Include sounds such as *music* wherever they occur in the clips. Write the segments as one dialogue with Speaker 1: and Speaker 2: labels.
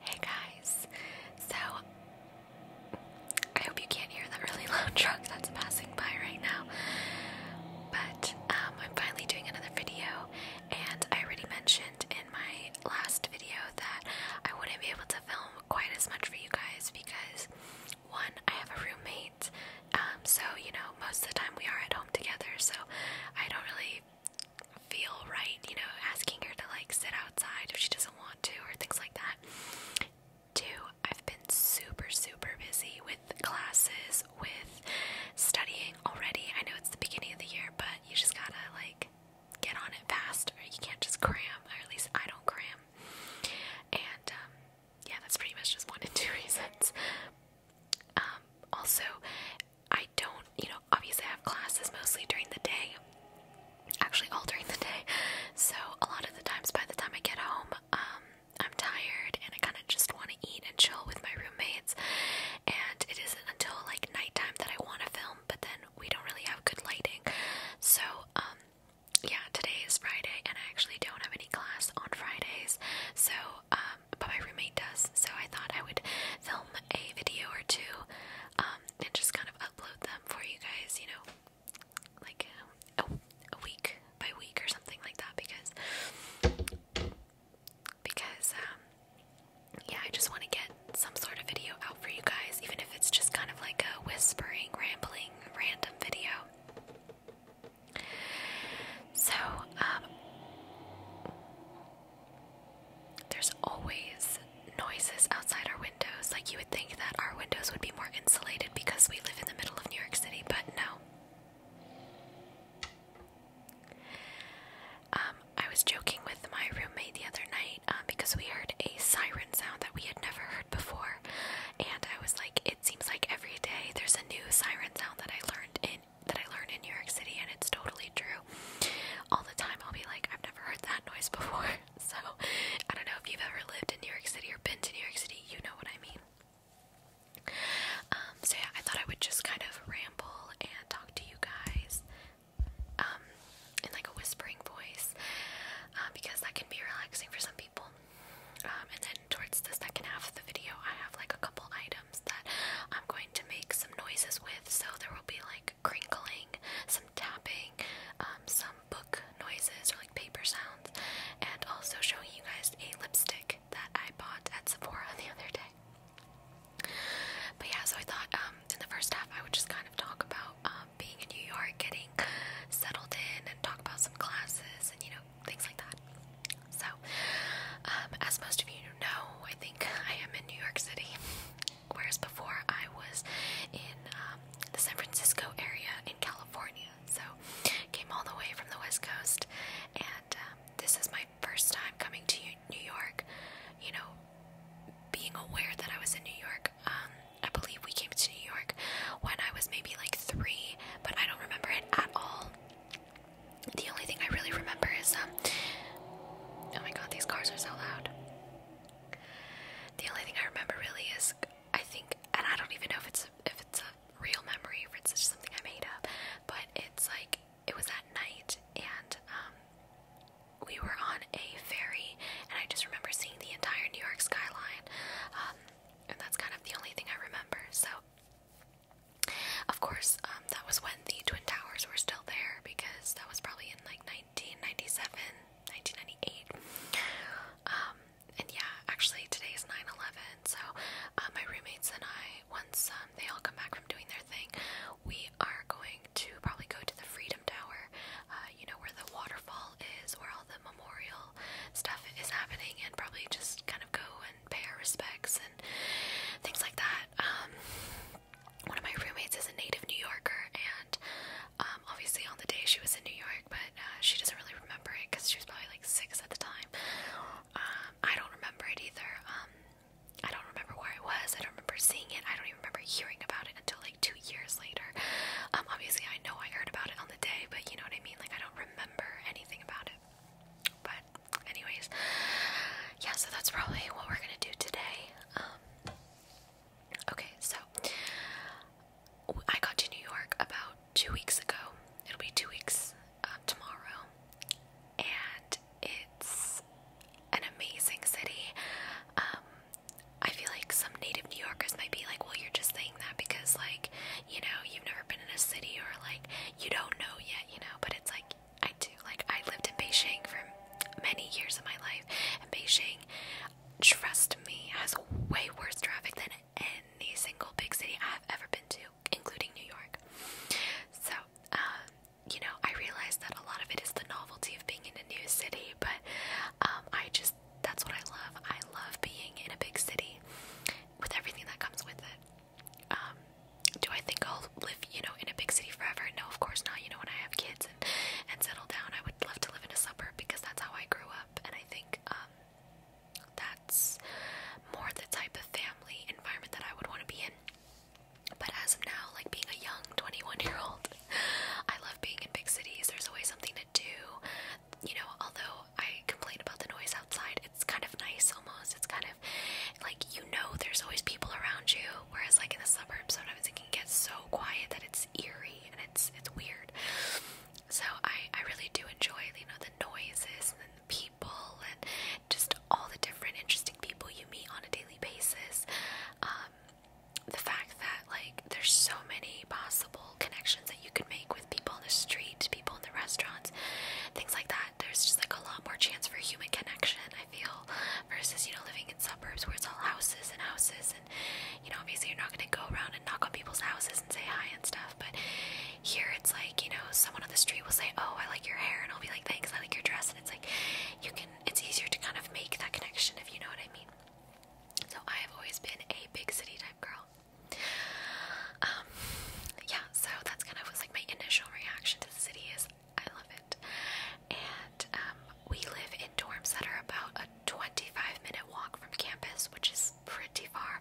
Speaker 1: Hey guys, so I hope you can't hear that really *laughs* loud truck that's passing by right now. But um, I'm finally doing another video, and I already mentioned in my last video that I wouldn't be able to film quite as much for you guys because one, I have a roommate, um, so you know, most of the time we are at home together, so I don't really feel right, you know, asking her to like sit outside if she doesn't want to or things like that. Two, I've been super, super busy with classes, with studying already. I know it's the beginning of the year, but you just gotta like get on it fast or you can't just cram, or at least I don't cram. And um, yeah, that's pretty much just one and two *laughs* reasons. Um, also, I don't, you know, obviously have classes mostly during the day, actually all during the day, so a lot of the times by the time I get home, um, I'm tired and I kind of just want to eat and chill with my roommates, and it isn't until like nighttime that I want to film, but then we don't really have good lighting, so, um, yeah, today is Friday, and I actually don't have any class on Fridays, so, um, but my roommate does, so I thought I would film a video or two um, and just kind of upload them for you guys, you know, like uh, oh, a, week by week or something like that because because um, yeah, I just want to get some sort of video out for you guys, even if it's just kind of like a whispering, rambling, random video. So, um, there's always noises outside our windows. Like, you would think that our windows would be more insulated because we live in the middle of New York City, but no. Um, I was joking with my roommate the other night um, because we heard a siren sound that we had never heard before, and I was like, "It seems like every day there's a new siren sound that I learned in that I learned in New York City, and it's totally true." all the time. I'll be like, I've never heard that noise before. *laughs* So I don't know if you've ever lived in New York City or been to New York City, you know what I mean. Um, so yeah, I thought I would just kind of ramble and talk to you guys um, in like a whispering voice uh, because that can be relaxing for some people. Um, and then towards the second half of the video, I have like a couple items that I'm going to make some noises with, so there will be like crinkling, some tapping, um, some book noises or like paper sounds, and also showing you guys a lipstick that I bought at Sephora the other day. But yeah, so I thought um, in the first half I would just kind of talk about um, being in New York, getting settled in, and talk about some classes and you know things like that. So, as most of you know, I think I am in New York City whereas before I was in um, the San Francisco area in California. So came all the way from the West Coast, and um, this is my first time coming to New York. You know, being aware that I was in New York. Um, I believe we came to New York when I was maybe like three, but I don't remember it at all. The only thing I really remember is um. Oh my god, these cars are so loud. The only thing I remember really is I think, and I don't even know if it's a, if it's a real memory, if it's just something I made up, but it's like it was at night and um, we were on a ferry, and I just remember seeing the entire New York skyline, um, and that's kind of the only thing I remember. So, of course, um, that was when the Twin Towers were still there because that was probably in like 1997, 1998. Um, and yeah, actually today is 9/11. So uh, my roommates and I, once um, they all come back from doing their thing, we are going to probably go to the Freedom Tower. Uh, you know where the waterfall is, where all the memorial stuff is happening, and probably just kind of go and pay our respects and things like that. Um, one of my roommates is a native New Yorker, and um, obviously on the day she was in New York, but uh, she doesn't really remember it because she was probably like six at the time. Um, I don't remember it either. Um, I don't remember where I was. I don't remember seeing it. I don't even remember hearing about it until like two years later. obviously, I know I heard about it on the day, but you know what I mean. Like I don't remember anything about it. But anyways, yeah. So that's probably what we're gonna do today. Okay, so I got to New York about two weeks ago. It'll be two weeks um, tomorrow, and it's an amazing city. Um, I feel like some native New Yorkers might be like, "Well, you're just saying that because, like, you know, you've never been in a city or like you don't know yet, you know." But it's like I do. Like, I lived in Beijing for many years of my life, and Beijing, trust me, has way worse traffic than any single big city I have ever been to, including New York. So, um, you know, I realize that a lot of it is the novelty of being in a new city, but um, I just, that's what I love. I love being in a big city with everything that comes with it. Um, do I think I'll live you know, in a big city forever. No, of course not. You know, when I have kids and and settle down, I would love to live in a suburb because that's how I grew up, and I think um, that's more the type of family environment that I would want to be in. But as of now, like being a young 21 year old, *laughs* I love being in big cities. There's always something to do. You know, although I complain about the noise outside, it's kind of nice almost. It's kind of like you know, there's always people around you. Whereas, like in the suburbs, sometimes it it can so quiet that it's eerie and it's it's weird. So I I really do enjoy you know the noises and the people and just all the different interesting people you meet on a daily basis. Um, the fact that like there's so many possible connections that you could make with people in the street, people in the restaurants, things like that. There's just like a lot more chance for human connection. I feel versus, you know, living in suburbs where it's all houses and houses. And, you know, obviously you're not going to go around and knock on people's houses and say hi and stuff. But here it's like, you know, someone on the street will say, Oh, I like your hair. And I'll be like, Thanks, I like your dress. And it's like, you can, it's easier to kind of make that connection if you know what I mean. So I have always been a big city type girl. Um, yeah, so that's kind of was like my initial reaction to the city is I love it. And um, we live in dorms that are about a 25 minute walk from campus, which is pretty far.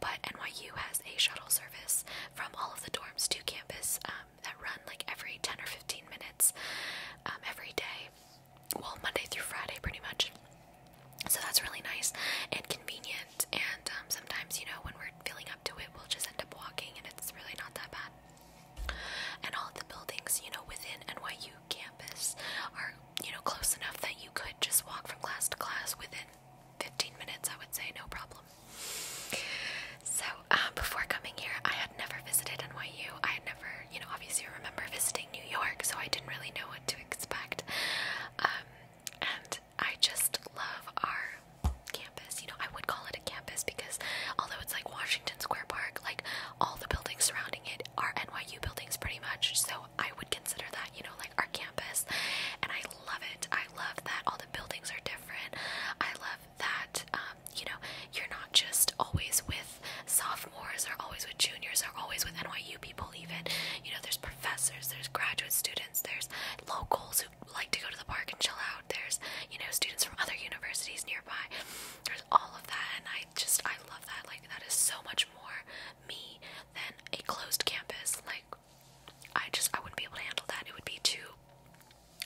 Speaker 1: But NYU has a shuttle service from all of the dorms to campus um, that run like every 10 or 15 minutes um, every day. Well, Monday through Friday, pretty much. So that's really nice and convenient. And um, sometimes, you know, when we're feeling up to it, we'll just end up walking, and it's really not that bad. And all of the buildings, you know, within NYU campus are, you know, close enough that you could just walk from class to class within 15 minutes, I would say, no problem. So, um, before coming here, I had never visited NYU. I had never, you know, obviously remember visiting New York, so I didn't really know what to expect. Um, and I just love our campus. You know, I would call it a campus because although it's like Washington Square Park, like all the buildings surrounding it are NYU buildings pretty much. So I would consider that, you know, like our campus. And I love it. I love that all the buildings are different. I love that, um, you know, you're not just always with sophomores or always with juniors or always with NYU people, even. You know, there's professors, there's graduate students, there's locals who like to go to the park and chill out, there's, you know, students from other universities nearby, all of that and I just I love that like that is so much more me than a closed campus like I just I wouldn't be able to handle that it would be too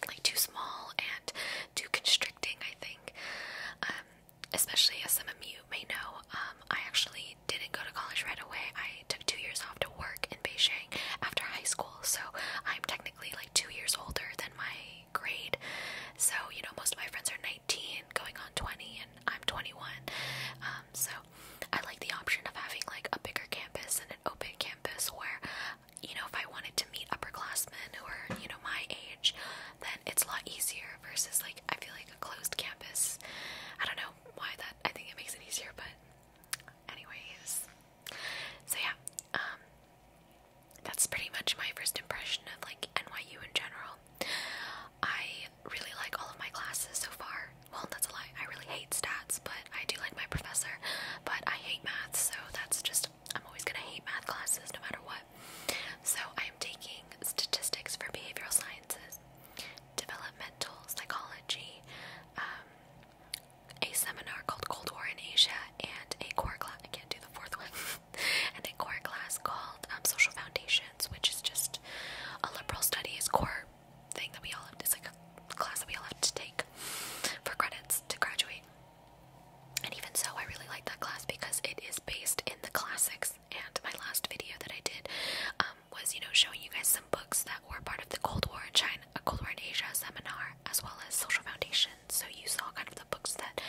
Speaker 1: like too small and too constricting I think um especially as some of you may know um I actually didn't go to college right away I took two years off to work in Beijing after high school so I'm technically like two years older than my grade. So, you know, most of my friends are 19, going on 20, and I'm 21. Um, so, I like the option of having like a bigger campus and an open campus where, you know, if I wanted to meet upperclassmen who are, you know, my age, then it's a lot easier versus like I feel like a closed campus. I don't know why that, I think it makes it easier, but anyways. So, yeah, um, that's pretty much my first impression of like NYU in general. I really like all of my classes so far. Well, that's a lie. I really hate stats, but I do like my professor. But I hate math, so that's just I'm always gonna hate math classes no matter what. So I am taking statistics for behavioral sciences, developmental psychology, um, a seminar called Cold War in Asia, and a core class. I can't do the fourth one, *laughs* and a core class called um, Social Foundations, which is just a liberal studies core thing that we all have. It's like a class that we all have to take for credits to graduate. And even so, I really like that class because it is based in the classics. And my last video that I did um, was, you know, showing you guys some books that were part of the Cold War in China, a Cold War in Asia seminar, as well as Social Foundations so you saw kind of the books that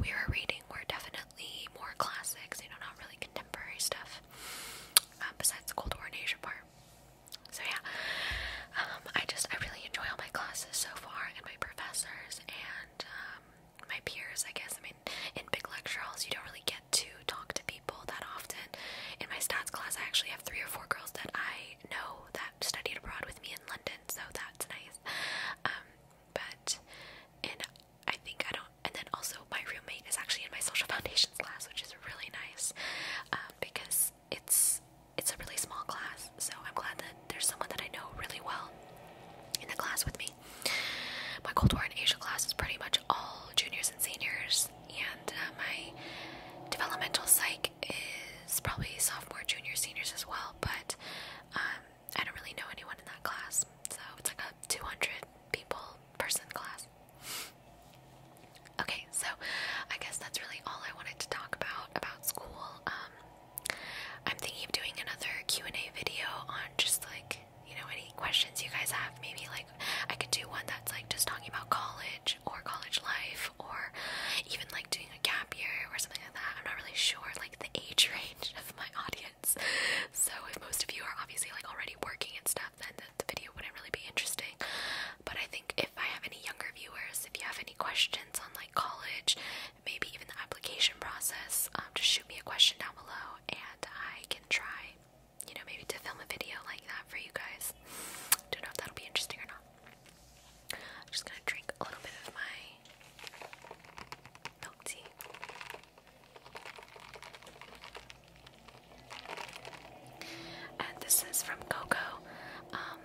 Speaker 1: we were reading were definitely more classics, you know, not really contemporary stuff, um, besides the Cold War and Asia part. So yeah, um, I just, I really enjoy all my classes so far, and my professors, and, um, my peers, I guess. I mean, in big lecture halls, you don't really get to talk to people that often. In my stats class, I actually have three or four girls that I know that studied abroad with me in London. *laughs* so that's nice. Um, but and I think I don't. And then also, my roommate is actually in my social *laughs* foundations class, which is really nice um, because it's it's a really small class. So I'm glad that there's someone that I know really well in the class with me. My Cold War and Asia class is pretty much all juniors and seniors, and uh, my developmental psych think is probably sophomore, junior, seniors as well, but um, I don't really know anyone in that class. So it's like a 200 people person class. Okay, so I guess that's really all I wanted to talk about about school. Um, I'm thinking of doing another Q&A video on just like, you know, any questions you guys have. Maybe like I could do one that's like just talking about college or college life or even like doing a gap year or something I'm not really sure like the age *laughs* range of my audience. So if most of you are obviously like already working and stuff, then the, video wouldn't really be interesting. But I think if I have any younger viewers, if you have any questions on like college, maybe even the application process, um, just shoot me a question down below and I can try, you know, maybe to film a video like that for you guys. Don't know if that'll be interesting or not. I'm just gonna drink a little bit of my milk tea. And this is from Coco. Um,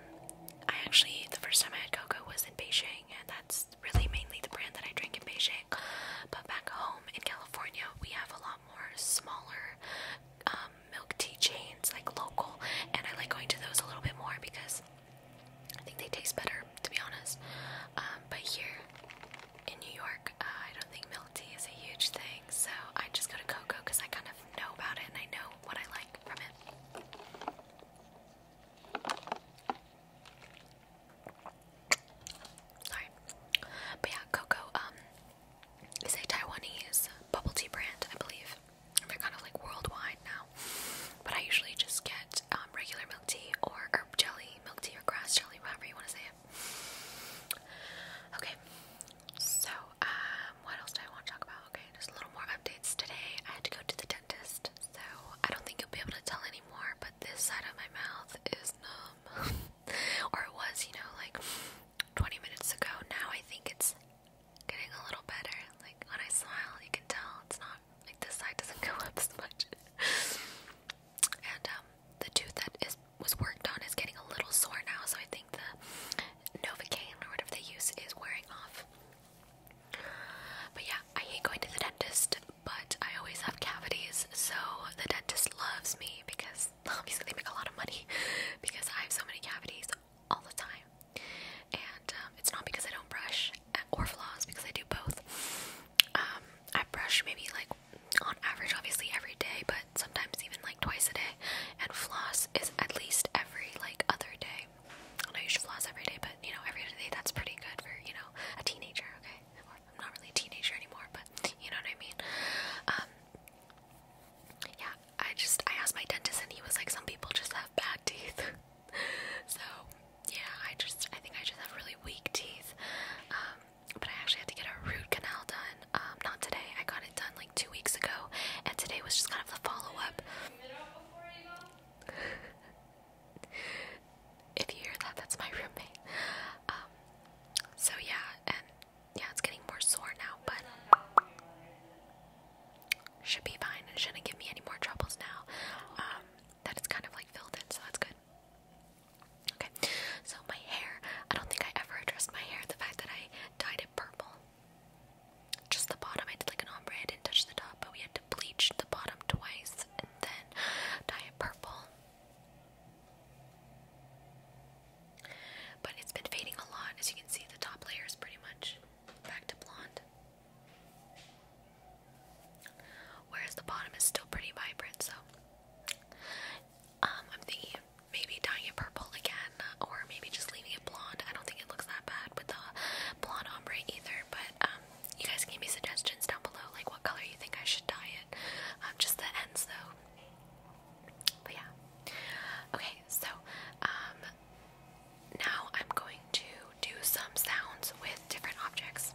Speaker 1: I actually, the first time I had Coco was in Beijing, and that's really mainly the brand that I drink in Beijing. But back home in California, we have a lot more smaller um, milk tea chains, like local, and I like going to those a little bit more because I think they taste better, to be honest. Um, but here in New York, uh, I don't think milk tea is a huge thing, so I just go to Coco because I kind of know about it and I know what I like from it. Sorry, but yeah, cocoa um, is a Taiwanese bubble tea brand, I believe. They're kind of like worldwide now. But I usually just get um, regular milk tea or herb jelly, milk tea or grass jelly, whatever you want to say it. Okay, so um, what else do I want to talk about? Okay, just a little more updates today. I had to go to the dentist, so I don't think you'll be able to tell anymore. But this side of my mouth is numb, *laughs* or it was, you know, like 20 minutes ago. Now I think it's getting a little better. Like when I smile, you can tell it's not like this side doesn't *laughs* go up as much. and um, the tooth that is was worked on is getting a little sore now, so I think the Novocaine or whatever they use is wearing off. But yeah, I hate going to the dentist, but I always have cavities, so the dentist loves me because *laughs* obviously they make a lot of money *laughs* because I have so many cavities all the time. And um, it's not because I don't brush or floss, because I do both. Um, I brush maybe like on average, obviously every day, but sometimes even like twice a day. And floss is at least every like other day. I know you should floss every day, but you know, every other day that's pretty good for you know a teenager. Okay, or I'm not really a teenager anymore, but you know what I mean. Um, yeah, I just I asked my dentist and he was like, some people just have bad teeth. *laughs* so yeah, I just I think I just have really weak teeth. Um, but I actually had to get a root canal done. Um, not today. I got it done like two weeks ago, and today was just kind of the follow up. *laughs* if you hear that, that's my roommate. Um, so yeah, and yeah, it's getting more sore now, but should be fine and shouldn't give me any more troubles now. Um, that it's kind of like filled in, so that's good. Okay, so my hair, I don't think I ever addressed my hair, the fact that I dyed it purple. Just the bottom, I did like an ombre, I didn't touch the top, but we had to bleach the bottom twice and then dye it purple. But it's been fading a lot, as you can see, the top layer is pretty much back to blonde. Whereas the bottom is still pretty vibrant, so um, I'm thinking maybe dyeing it purple again, or maybe just leaving it blonde. I don't think it looks that bad with the blonde ombre either, but um, you guys can give me suggestions down below, like what color you think I should dye it. Um, just the ends though. But yeah. Okay, so now I'm going to do some sounds with different objects.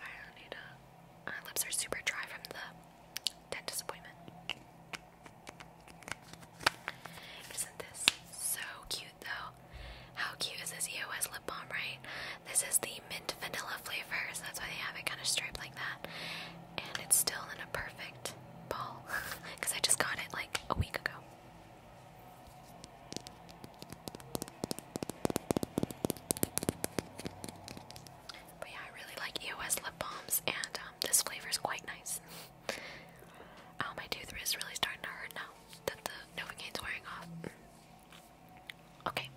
Speaker 1: I do need a. My lips are super dry from the dentist appointment. Isn't this so cute though? How cute is this EOS lip balm, right? This is the mint vanilla flavor, so that's why they have it kind of striped like that. And it's still in a perfect ball because *laughs* I just got it like a week ago. But yeah, I really like EOS lip balms, and um, this flavor is quite nice. *laughs* oh, my tooth is really starting to hurt now that the Novocaine's wearing off. Okay,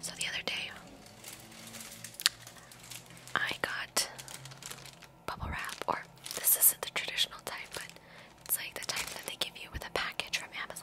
Speaker 1: so the other day I got bubble wrap, or this isn't the traditional type, but it's like the type that they give you with a package from Amazon.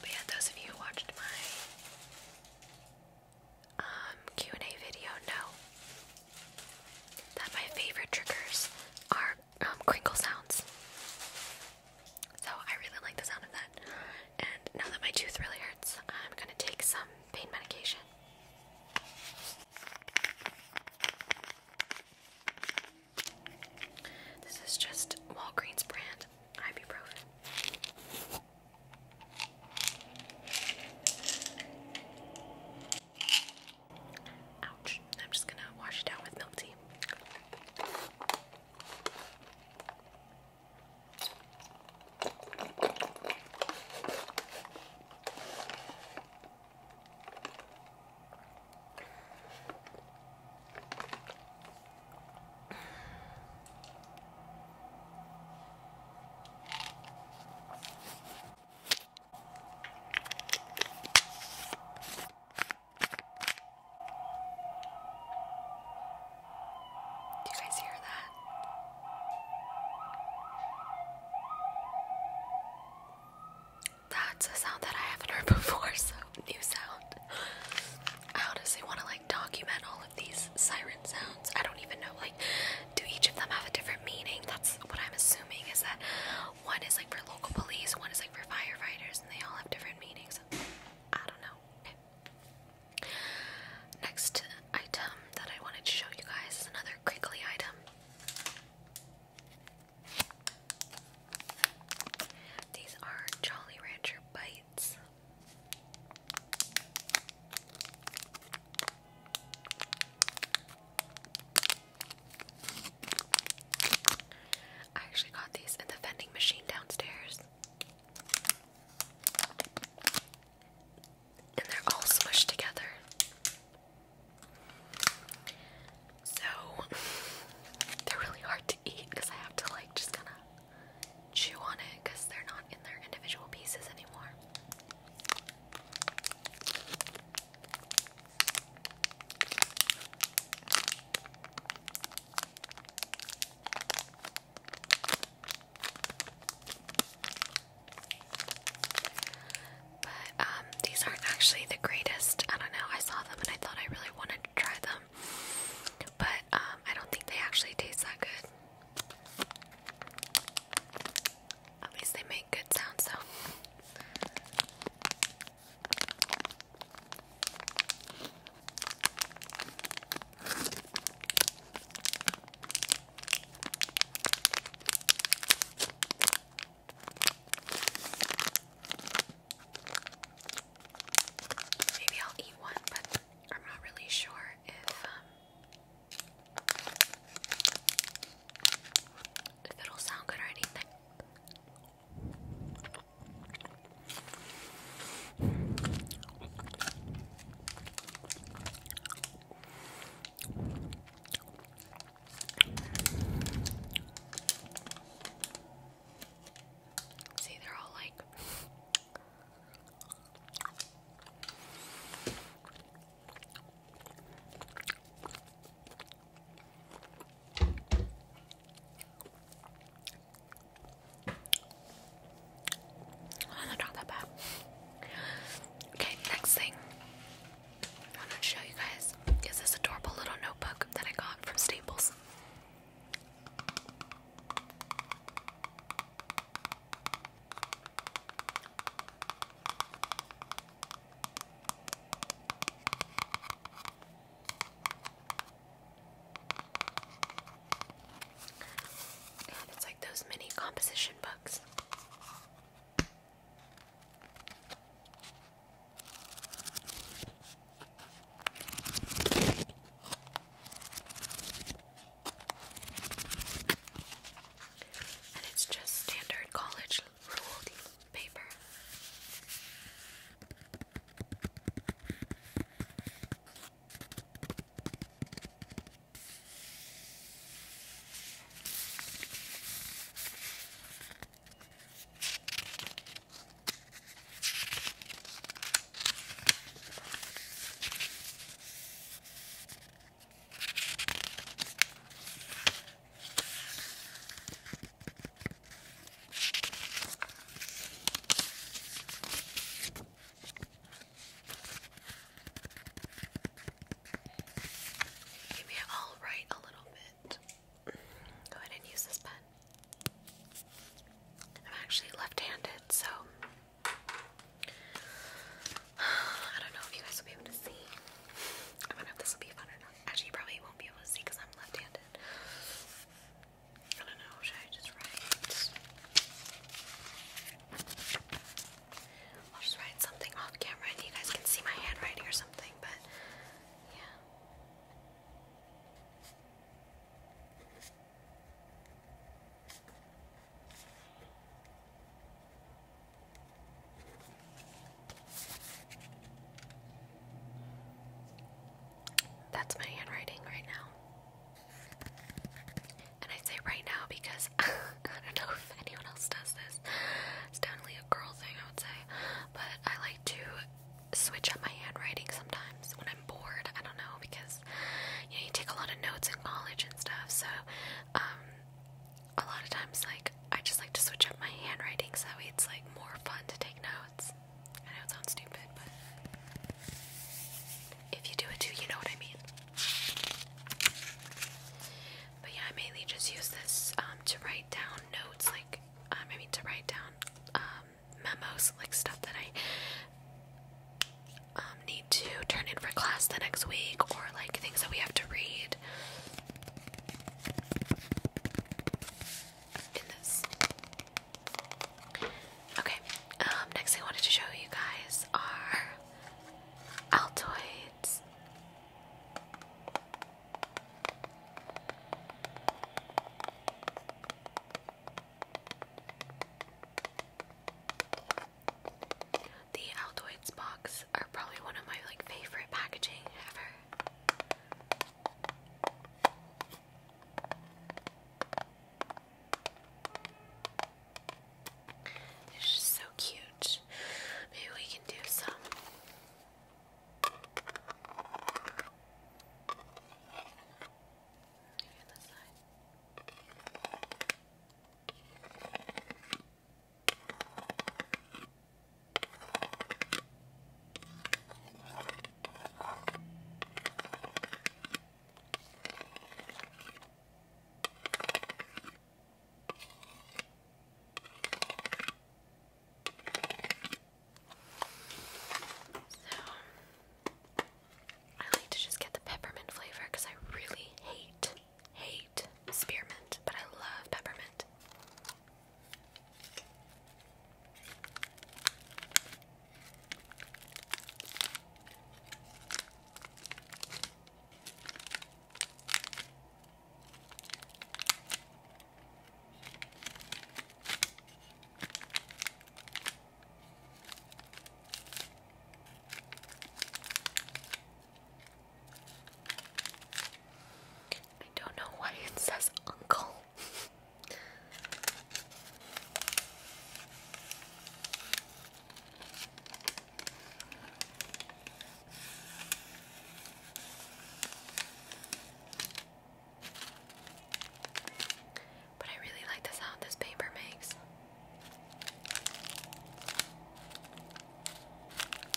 Speaker 1: But yeah, those of you who watched my um, Q&A video know that my favorite triggers are um, crinkle sounds. So I really like the sound of that. And now that my tooth really hurts, I'm gonna take some pain medication. This is just Walgreens brand ibuprofen. Ouch. I'm just gonna wash it out with milk tea. Do you guys hear that? That's a sound that I haven't heard *laughs* before, so new sound. I honestly want to like document all of these siren sounds. I don't even know, like, do each of them have a different meaning? That's what I'm assuming is that one is like for local police, one is like for firefighters, and they all have different meanings. I don't know. Next item that I wanted to show you guys is another crinkly item. These are Jolly Rancher bites. I actually got these at the vending machine downstairs. And they're all smushed together. So, *laughs* they're really hard to eat because I have to, like, just kind of chew on it because they're not in their individual pieces anymore. But um, these aren't actually the greatest. I don't know. I saw them and I thought I really wanted to try them, but um, I don't think they actually taste that good. At least they make good sounds, So Maybe I'll eat one, but I'm not really sure if um, if it'll sound good or anything. See, they're all like Oh, that's not that bad. Okay, next thing I want to show you guys is this adorable little notebook that I got from Staples. And it's like those mini composition books. And it's just standard college ruled paper. Maybe I'll a little bit. Go ahead and use this pen. I'm actually left handed, so *sighs* I don't know if you guys will be able to see. I don't know if this will be fun or not. Actually, probably won't be able to see because I'm left-handed. I don't know. Should I just write? I'll just write something off camera and you guys can see my handwriting or something, but yeah. That's my handwriting right now. And I say right now because *laughs* I don't know if anyone else does this. It's definitely a girl thing, I would say. But I like to switch up my handwriting sometimes when I'm bored. I don't know because you know you take a lot of notes in college and stuff, so um, a lot of times, like, I just like to switch up my handwriting so that it's like more fun to take notes. I know it sounds stupid, but if you do it too, you know what I mean. But yeah, I mainly just use this um, to write down notes, like, um, I mean, to write down um, memos, like stuff that I um, need to turn in for class the next week, or like things that we have to read. Okay, um, next I wanted to show you guys are Altoids. The Altoids box are probably one of my like favorite packaging ever. It's just so cute. Maybe we can do some. So I like to just get the peppermint flavor because I really hate hate spearmint, but I love peppermint. I don't know why it says uncle. But I really like the sound this paper makes.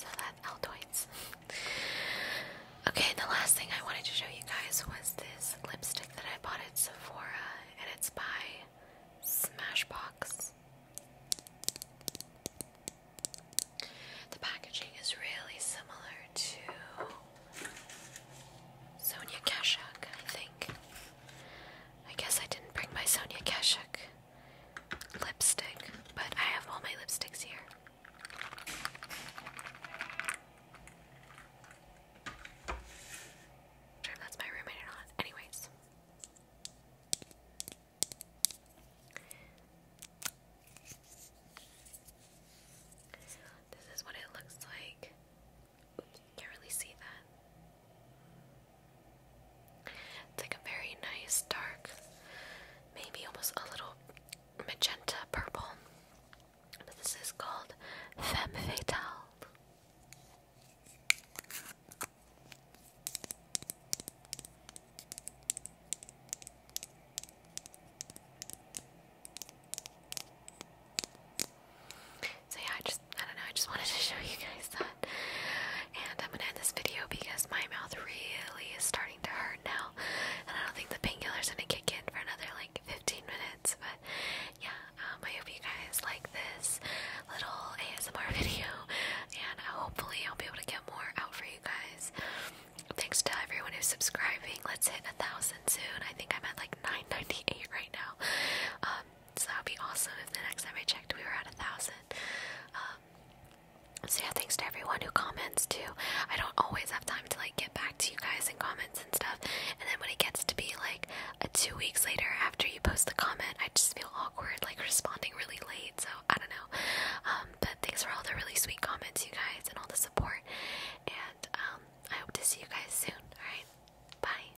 Speaker 1: So that Altoids. okay, the last thing I wanted to show you guys was this lipstick that I bought at Sephora, and it's by Smashbox. The packaging is really similar to Sonia Kashuk, I think. I guess I didn't bring my Sonia Kashuk lipstick, but I have all my lipsticks here. Sure, that's my roommate or not. Anyways. This is what it looks like. Oops, can't really see that. It's like a very nice dark, maybe almost a little magenta purple. But this is called Femme Fatale. So yeah, I just I don't know, I just *laughs* wanted to show you guys that. And I'm gonna end this video because my mouth really is starting to hurt now. And I don't think the is gonna kick in for another like 15 minutes. But yeah, um, I hope you guys like this little ASMR *laughs* video. And hopefully I'll be able to get more out for you guys. Thanks to everyone who's subscribing. Let's hit a thousand soon. I think I'm at like 998 right now. Um, so that would be awesome if the next time I checked we were at a thousand. Um, so yeah, thanks to everyone who comments too. I don't always have time to like get back to you guys and comments and stuff. And then when it gets to be like a two weeks later after you post the comment, I just feel awkward like responding really late. So I don't know. Um, but thanks for all the really sweet comments, you guys, and all the support. And um, I hope to see you guys soon. All right, bye.